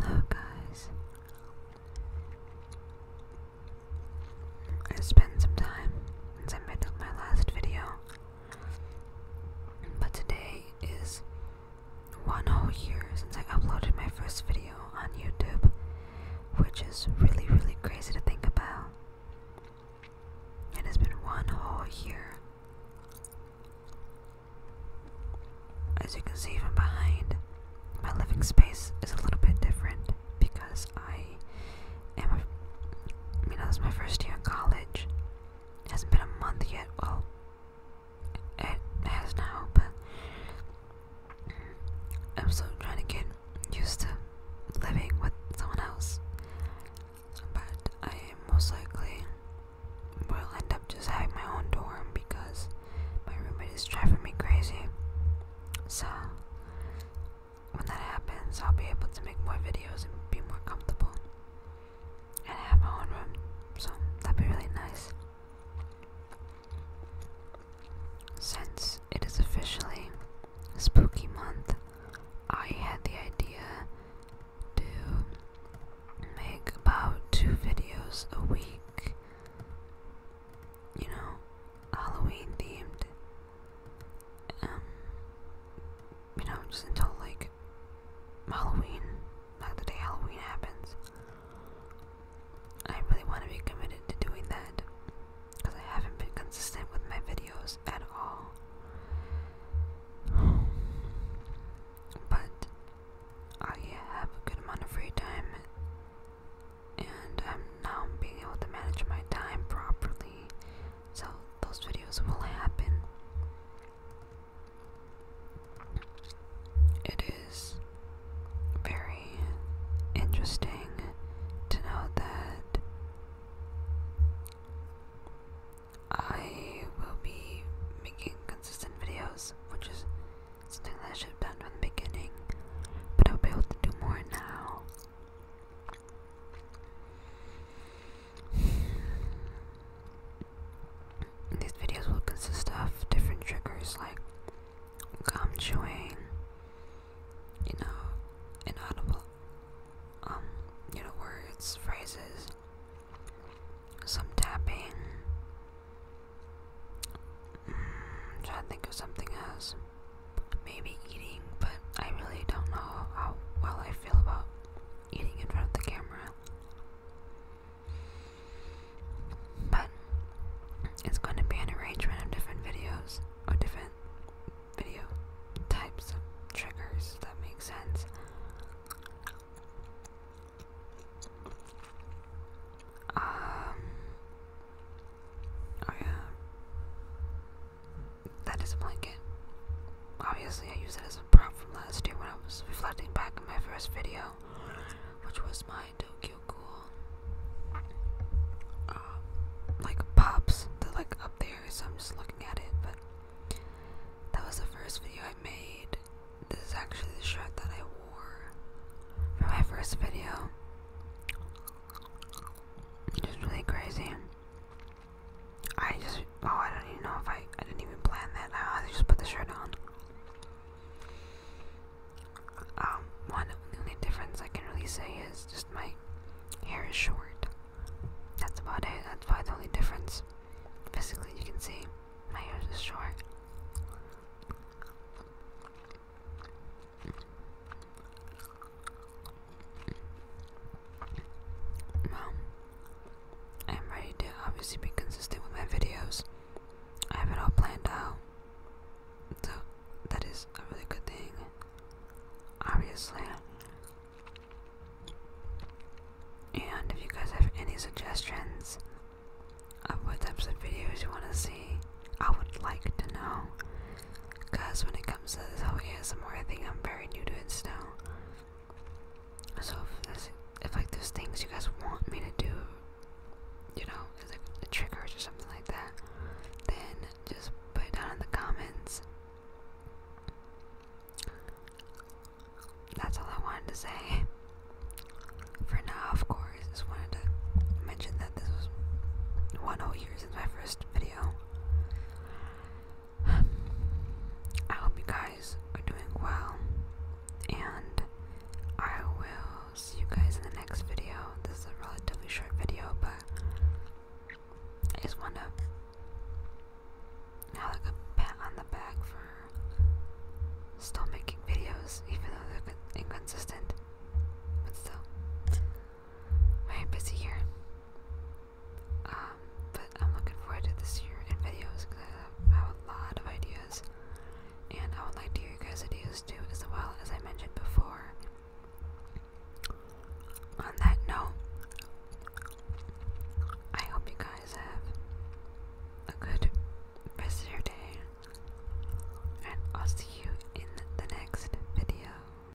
Hello guys. It's been some time since I made up my last video. But today is one whole year since I uploaded my first video on YouTube, which is really really crazy to think about. It has been one whole year. As you can see from behind, my living space is a little bit different because I am, a, you know, this is my first year in college. It hasn't been a month yet. Well, it has now, but I'm still trying to get used to living with someone else. But I am most likely I'll end up just having my own dorm because my roommate is driving me crazy. So, when that happens, I'll be able to make more videos and be more comfortable. And I have my own room, so that'd be really nice. Since it is officially spooky month, I had the idea to make about two videos a week, you know, Halloween themed. Um, you know, just until like Halloween, the day Halloween happens. I really want to be committed to doing that because I haven't been consistent with my videos at all. But I have a good amount of free time, and I'm now being able to manage my time properly, so those videos will happen. It is very interesting to know that I will be making consistent videos, which is something that I should have done from the beginning, but I'll be able to do more now. These videos will consist of different triggers like gum chewing, you know, inaudible, um, you know, words, phrases, some tapping. Mm, trying to think of something else. Maybe eating, but I really don't know how well I feel about eating in front of the camera but it's going to be an arrangement of different videos or different video types of triggers that make sense. Um oh yeah. That is a blanket. Obviously I used it as a prop from last year when I was reflecting back on my first video, which was my Tokyo cool, uh, like pops. They're like up there, so I'm just looking at it. But that was the first video I made. This is actually the shirt that I wore for my first video. It's just really crazy. I just oh I don't even know if I I didn't even plan that. I just put the shirt on. Um, one the only difference I can really say is just my hair is short. That's about it. That's why the only difference. Physically, you can see my hair is short. Well, I'm ready to obviously be consistent with my videos. I have it all planned out. So that is a really good thing. Obviously. And if you guys have any suggestions of what types of videos you want to see, I would like to know. Because when it comes to this whole ASMR thing, I'm very new to it still. So if, if like there's things you guys want me to do, you know, like triggers or something like that, then just put it down in the comments. That's all I wanted to say. For now, of course, just wanted to mention that this was one whole year since my first video. I hope you guys are doing well, and I will see you guys in the next video. This is a relatively short video, but I just want to have like a pat on the back for still making videos, even though they're inconsistent. But still, very busy here. Um, but I'm looking forward to this year in videos because I have a lot of ideas, and I would like to hear your guys' ideas too, as well as I mentioned before. On that note, I hope you guys have a good rest of your day, and I'll see you in the next video.